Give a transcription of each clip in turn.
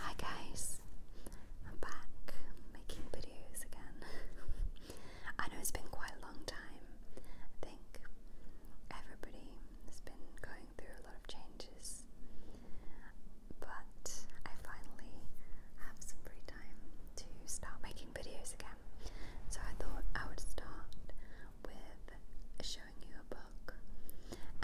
Hi guys, I'm back making videos again. I know it's been quite a long time. I think everybody has been going through a lot of changes, but I finally have some free time to start making videos again. So I thought I would start with showing you a book.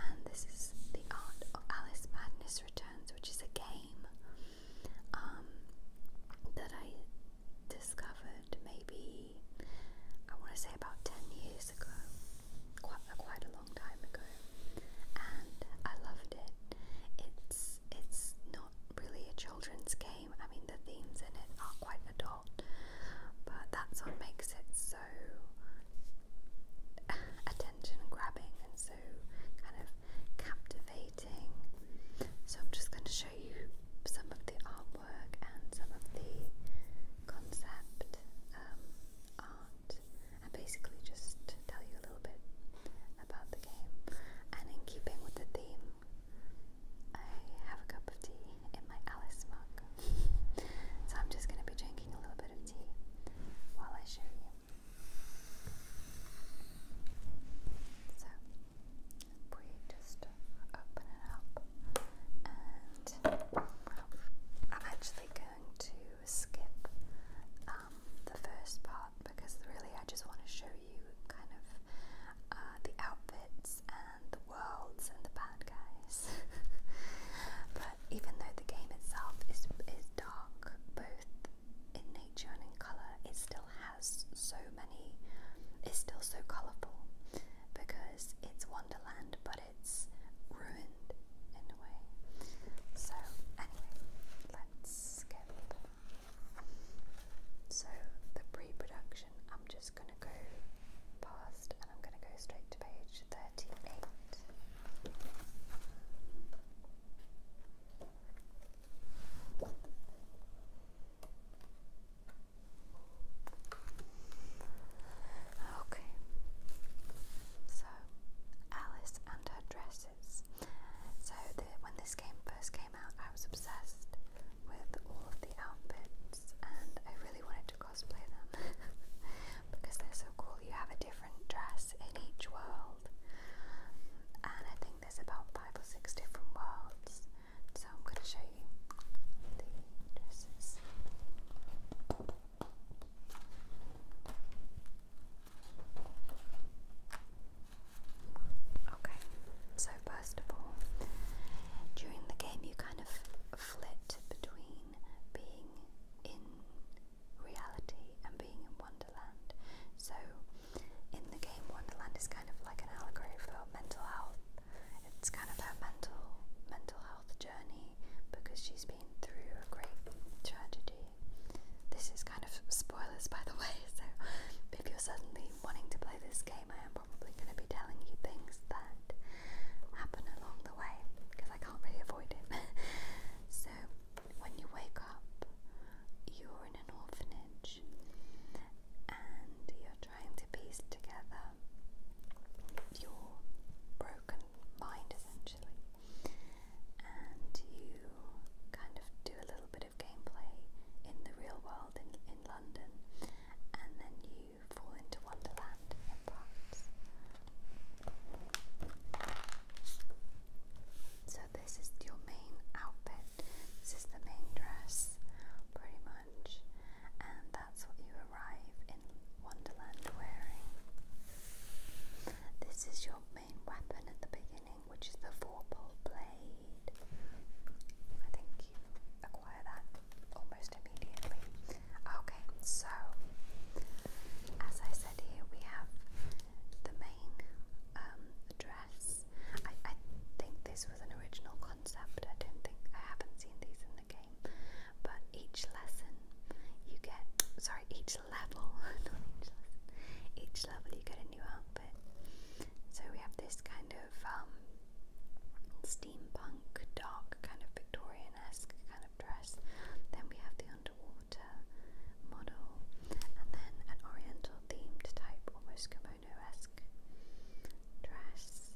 And this is The Art Alice Madness Returns, which is a game um, that I discovered maybe, I want to say about 10 years ago, quite, uh, quite a long time ago. And I loved it. It's, it's not really a children's game, I mean, the themes in it are quite adult, but that's what makes it so so attention grabbing and so kind of captivating. So, I'm just going to show you some of the artwork and some of the concept um, art, and basically just tell you a little bit about the game. And in keeping with the theme, I have a cup of tea in my Alice mug so I'm just going to be drinking a little bit of tea while I show you. So we just open it up, and I'm actually going to skip um, the first part because really I just want to show you kind of uh, the outfits and the worlds and the bad guys. but even though the game itself is is dark, both in nature and in color, it still has so many. It's still so colorful because it's Wonderland, but it's ruined in a way. So anyway, let's skip. So the pre-production, I'm just gonna going to go past and I'm going to go straight to page 38. Okay, so Alice and her dresses. So the, when this game first came out, I was obsessed with all of the outfits, and I really wanted to cosplay them. because they're so cool. You have a different dress in each world, and I think there's about five or six different worlds. So I'm going to show you the dresses. Okay, so first of all, during the game, you kind of flit between between being in reality and being in Wonderland. So, in the game, Wonderland is kind of like an allegory for mental health. It's kind of her mental mental health journey because she's been through a great tragedy. This is kind of spoilers, by the way. So, if you're suddenly wanting to play this game, I am probably going to be telling you things that happen along the way because I can't really avoid it. so, when you wake up, you're in an orphanage and you're trying to piece together your broken mind essentially, and you kind of do a little bit of gameplay in the real world in, in London, and then you so this is your main outfit. This is the main dress, pretty much, and that's what you arrive in Wonderland wearing. This is your main weapon at the beginning, which is the four-pole blade. I think you acquire that almost immediately. Okay, so as I said here, we have the main um, dress. I, I think this was an original concept. I don't think I haven't seen these in the game, but each lesson you get, sorry, each level, not each lesson, each level you get a new outfit. So we have this kind of um, steampunk, dark, kind of Victorian esque kind of dress. Then we have the underwater model, and then an oriental themed type, almost kimono esque dress,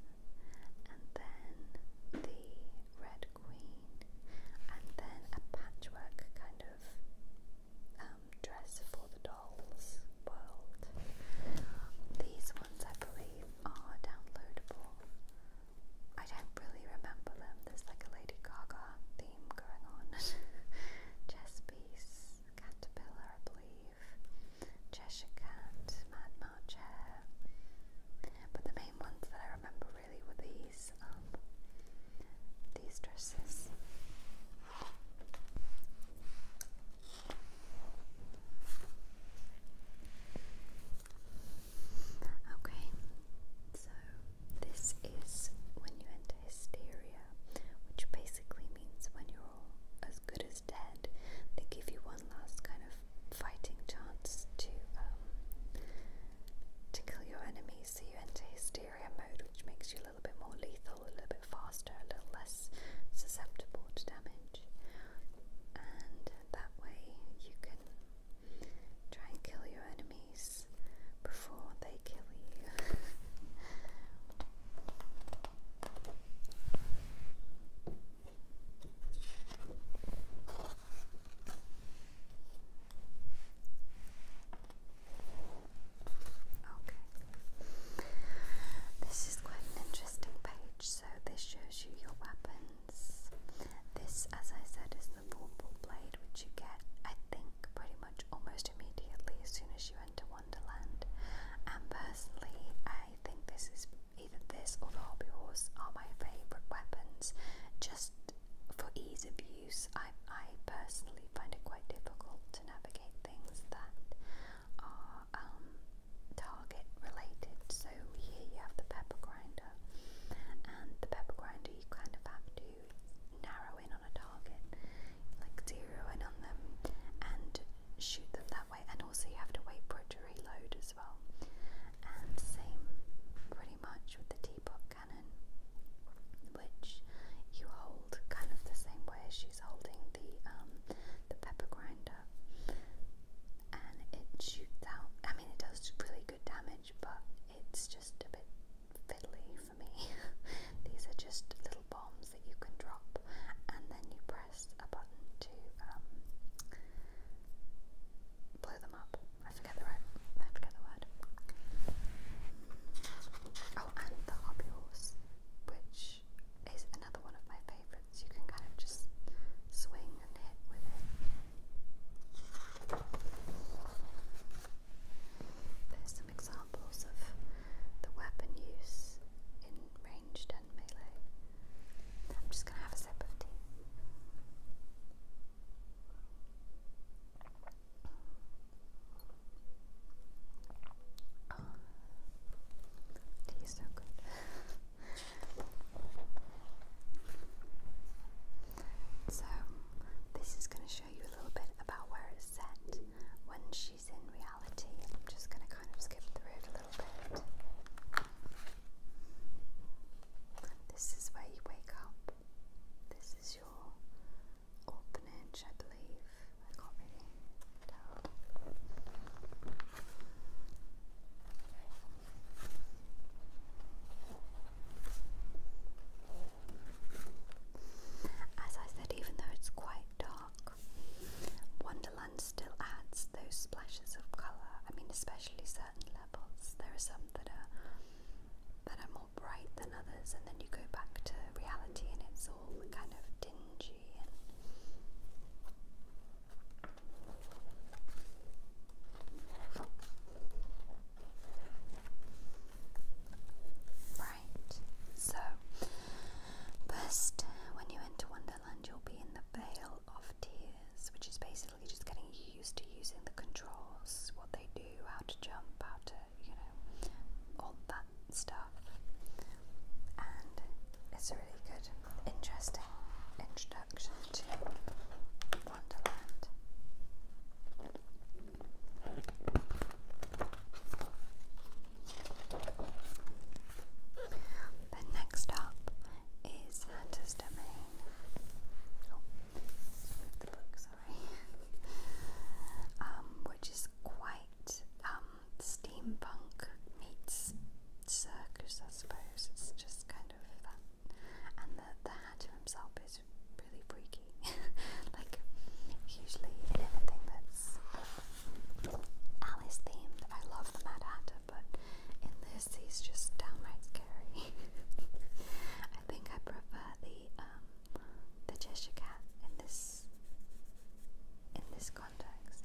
and then the Red Queen, and then a patchwork kind of um, dress for the dolls world. These I believe are downloadable. I don't really remember them. There's like a Lady Gaga theme going on. Chess piece, Caterpillar, I believe. Cheshire Cat, Mad March But the main ones that I remember really were these, um, these dresses. Okay, so this is when you enter hysteria, which basically means when you're all as good as dead, they give you one last kind of fighting chance to um, to kill your enemies. So you enter hysteria mode, which makes you a little bit more lethal, a little bit faster, a little less susceptible to damage and that way you can try and kill your enemies before they kill you. Okay. This is quite an interesting page, so this shows you your weapons. This, as I said, is the Vorpal Blade, which you get, I think, pretty much almost immediately as soon as you enter Wonderland. And personally, I think this is either this or the Hobby Horse are my favourite weapons. Just for ease of use, I, I personally find it quite difficult to navigate things that are um, target related. So here you have the pepper grinder, and the pepper grinder you kind of have to narrow in on a target, like zero in on them, and shoot them that way. And also you have to wait for it to reload as well. And same pretty much with the teapot cannon, which you hold kind of the same way as she's holding the um, the pepper grinder. And it shoots out, I mean, it does really good damage, but it's just a bit fiddly for me. These are just little bombs that you can drop, and then you press a button to um, blow them up. I forget forget the word. Oh, and the hobby horse, which is another one of my favourites. You can kind of just swing and hit with it. There's some examples of the weapon use in ranged and melee. I'm just going to have a sip of tea tastes so good. so, this is going to show you a little bit about where it's set when she's in reality. I'm just going to kind of skip through it a little bit. This is where you wake up. This is your orphanage, I believe. As I said, even though it's quite dark, Wonderland still adds those splashes of colour. I mean, especially certain levels. There are some that are that are more bright than others, and then you go back to reality, and it's all kind of Right, so first, when you enter Wonderland, you'll be in the Vale of Tears, which is basically just getting used to using the controls, what they do, how to jump, how to, you know, all that stuff, and it's a really good, interesting introduction to Wonderland. Then next up is Hatter's Domain. Oh, the book, sorry. Um, which is quite um, steampunk meets circus, I suppose. It's just kind of that. And the, the Hatter himself is really freaky. like, usually in anything that's Alice themed, I love the Mad Hatter, but in this, he's just downright scary. I think I prefer the um, the Cheshire Cat in this in this context.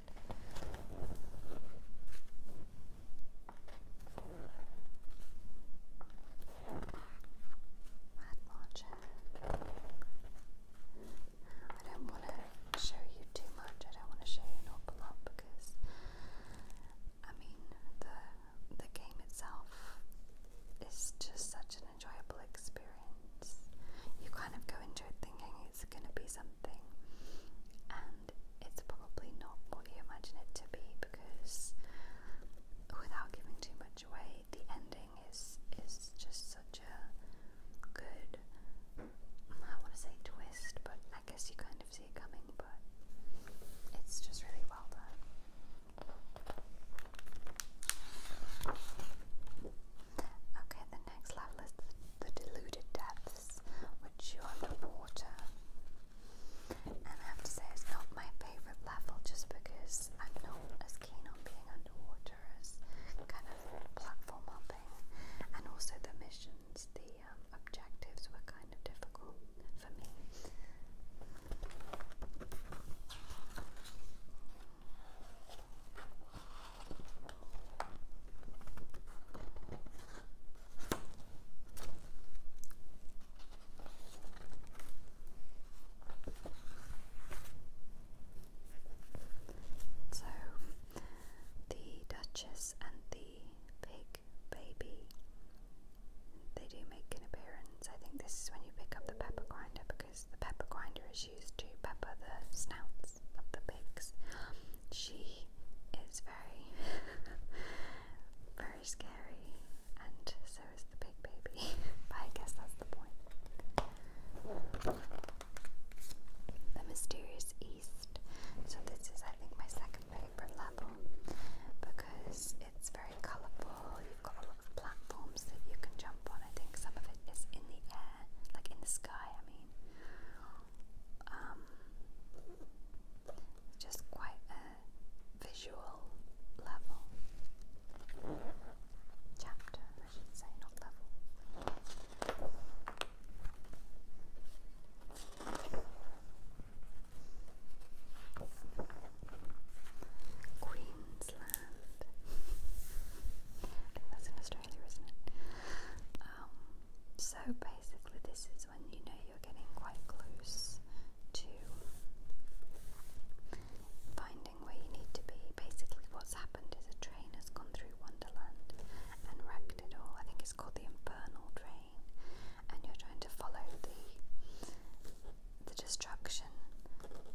Mad Marcher. I don't want to show you too much. I don't want to show you an awful because, I mean, the the game itself is just such an enjoyable experience. You kind of go into it thinking it's gonna be something, and it's probably not what you imagine it to be because, without giving too much away, the ending is is just such a good. I want to say twist, but I guess you kind of see it coming. But it's just really well done. Okay, Next level is the, the deluded depths, which you are underwater. And I have to say, it's not my favorite level just because I'm not as keen on being underwater as kind of platform hopping. And also, the missions, the um, objectives were kind of difficult for me. So the Duchess and the Pig Baby they do make an appearance. I think this is when you pick up the pepper grinder the pepper grinder is used to pepper the snouts of the pigs. She is very, very scary, and so is the pig baby. but I guess that's the point. The Mysterious East. So, this is, I think, my second favourite level because it's very colourful. You've got a lot of platforms that you can jump on. I think some of it is in the air land, like in the sky, I mean. Um, just quite a visual level. Chapter, I should say, not level. Queensland. I think that's in Australia, isn't it? Um, so basically, this is when you know you're getting quite close to finding where you need to be. Basically, what's happened is a train has gone through Wonderland and wrecked it all. I think it's called the Infernal Train, and you're trying to follow the the destruction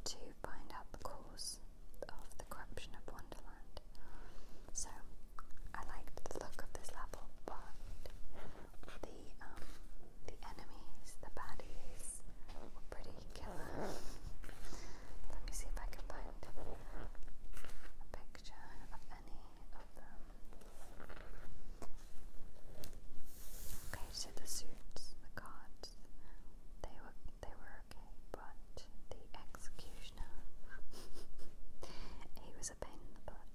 to find out the cause of the corruption of Wonderland. So I liked the look of this level, but the um, the enemies, the baddies, were pretty killer. Let me see if I can find a picture of any of them. Okay, so the suits, the cards, they were they were Okay, the executioner. he was a pain in the butt.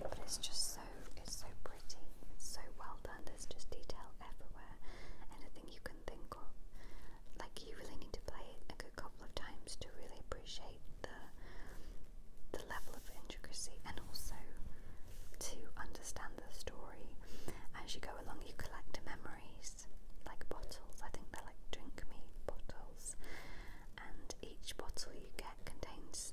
But it's just so it's so pretty. It's so well done. There's just detail everywhere. Anything you can think of. Like you really need to play it a good couple of times to really appreciate the level of intricacy and also to understand the story. As you go along, you collect memories like bottles. I think they're like drink me bottles, and each bottle you get contains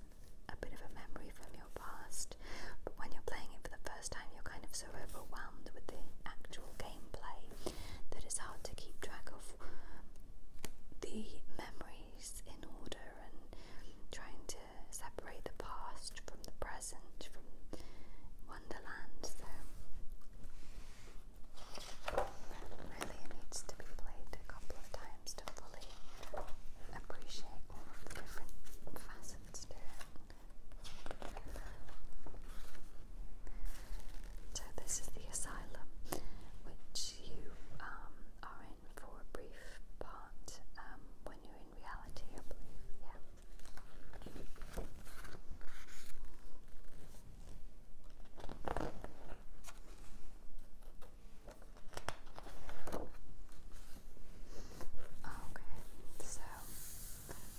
a bit of a memory from your past. But when you're playing it for the first time, you're kind of so overwhelmed with the actual gameplay that it's hard to keep track of the memories in order and trying to separate the past from the present, from Wonderland, so really it needs to be played a couple of times to fully appreciate all of the different facets to it. So this is the asylum which you um, are for a brief part um, when you're in reality, I believe. Yeah. Okay, so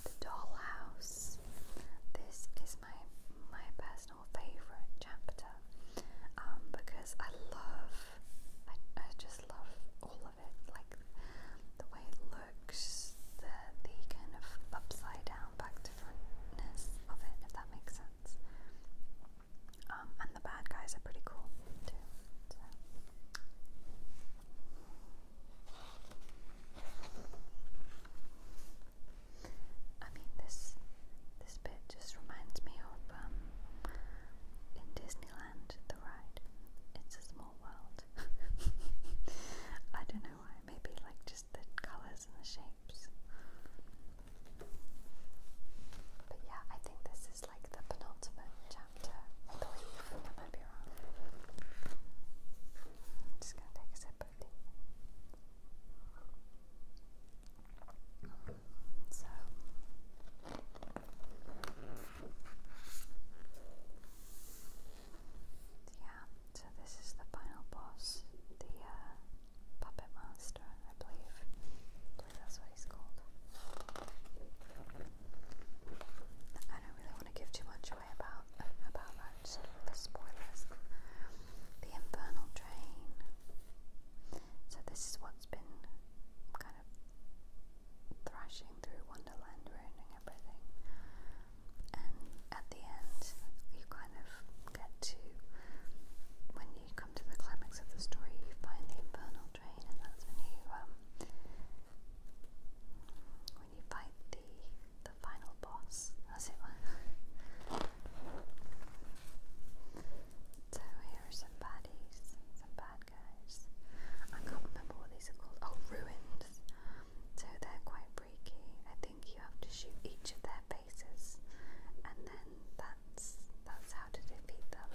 the dollhouse. This is my my personal favorite chapter um, because I love I, I just love all of it, like the way it looks, the the kind of upside down back to frontness of it, if that makes sense. Um, and the bad guys are pretty cool too. I mean, this this bit just reminds me of um, in Disneyland, the ride. It's a small world. I don't know why, maybe like just the colours and the shapes. But yeah, I think this is like the penultimate chapter, I believe. I might be wrong. just gonna take a sip of tea. So yeah, so this is the final boss, the uh, puppet master, I believe. that's what he's called. I don't really want to give too much away about about that. Just spoilers. The infernal train. So this is what's been kind of thrashing through Wonderland, ruining everything. And at the end, you kind of get to, when you come to the climax of the story, you find the infernal train, and that's when you, um, when you fight the the final boss. That's it. so here some some bad guys. I can't remember what these are called. Oh, ruins. So they're quite freaky. I think you have to shoot each of their faces, and then that's that's how to defeat them.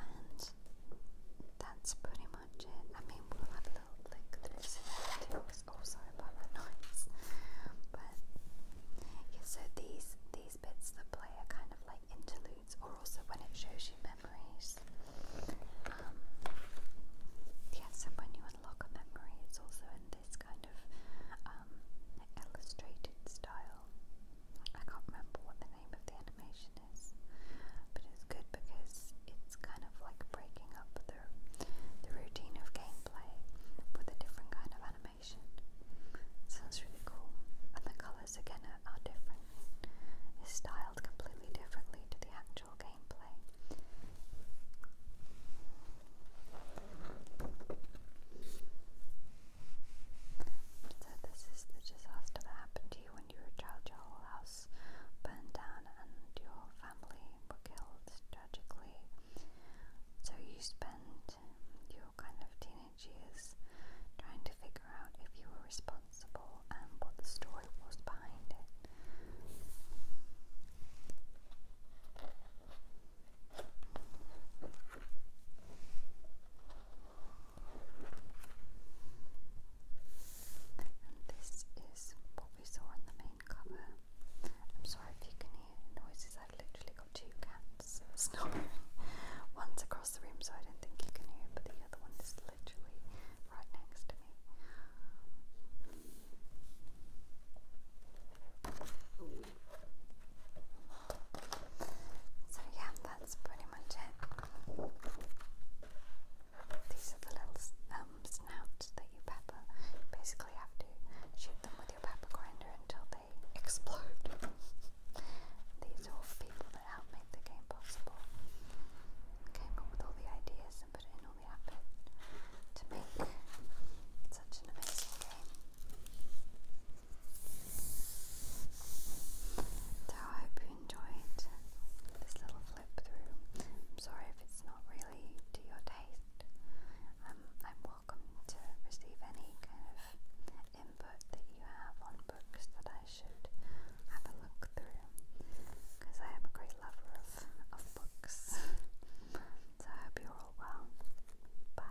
And that's pretty much it. I mean, we'll have a little like this too. Oh, sorry about that noise. But yeah, so these these bits that play are kind of like interludes, or also when it shows you memories. Um, yeah, when you unlock a memory, it's also in this kind of um, illustrated style. I can't remember what the name of the animation but it's good because it's kind of like breaking up the, the routine of gameplay with a different kind of animation. So really cool. And the colours again are, are different. It's styled completely differently to the actual gameplay. So this is the disaster that happened to you when you child, your whole house burned down and your family were killed tragically. So you spent your kind of teenage years trying to figure out if you were responsible and what the story was behind it. And this is what we saw on the main cover. I'm sorry if you can hear noises, I've literally got two cats snoring. One's across the room, so I don't think you can hear, but the other one is literally right next to me. So, yeah, that's pretty much it. These are the little um, that you pepper. basically have to shoot them with your pepper grinder until they explode. These are all people that help make the game possible. Came up with all the ideas and put in all the effort to make such an amazing game. So I hope you enjoyed this little flip through. sorry if it's not really to your taste. Um, I'm welcome to receive any kind of input that you have on books that I should have a look through because I am a great lover of, of books. so I hope you're all well. Bye.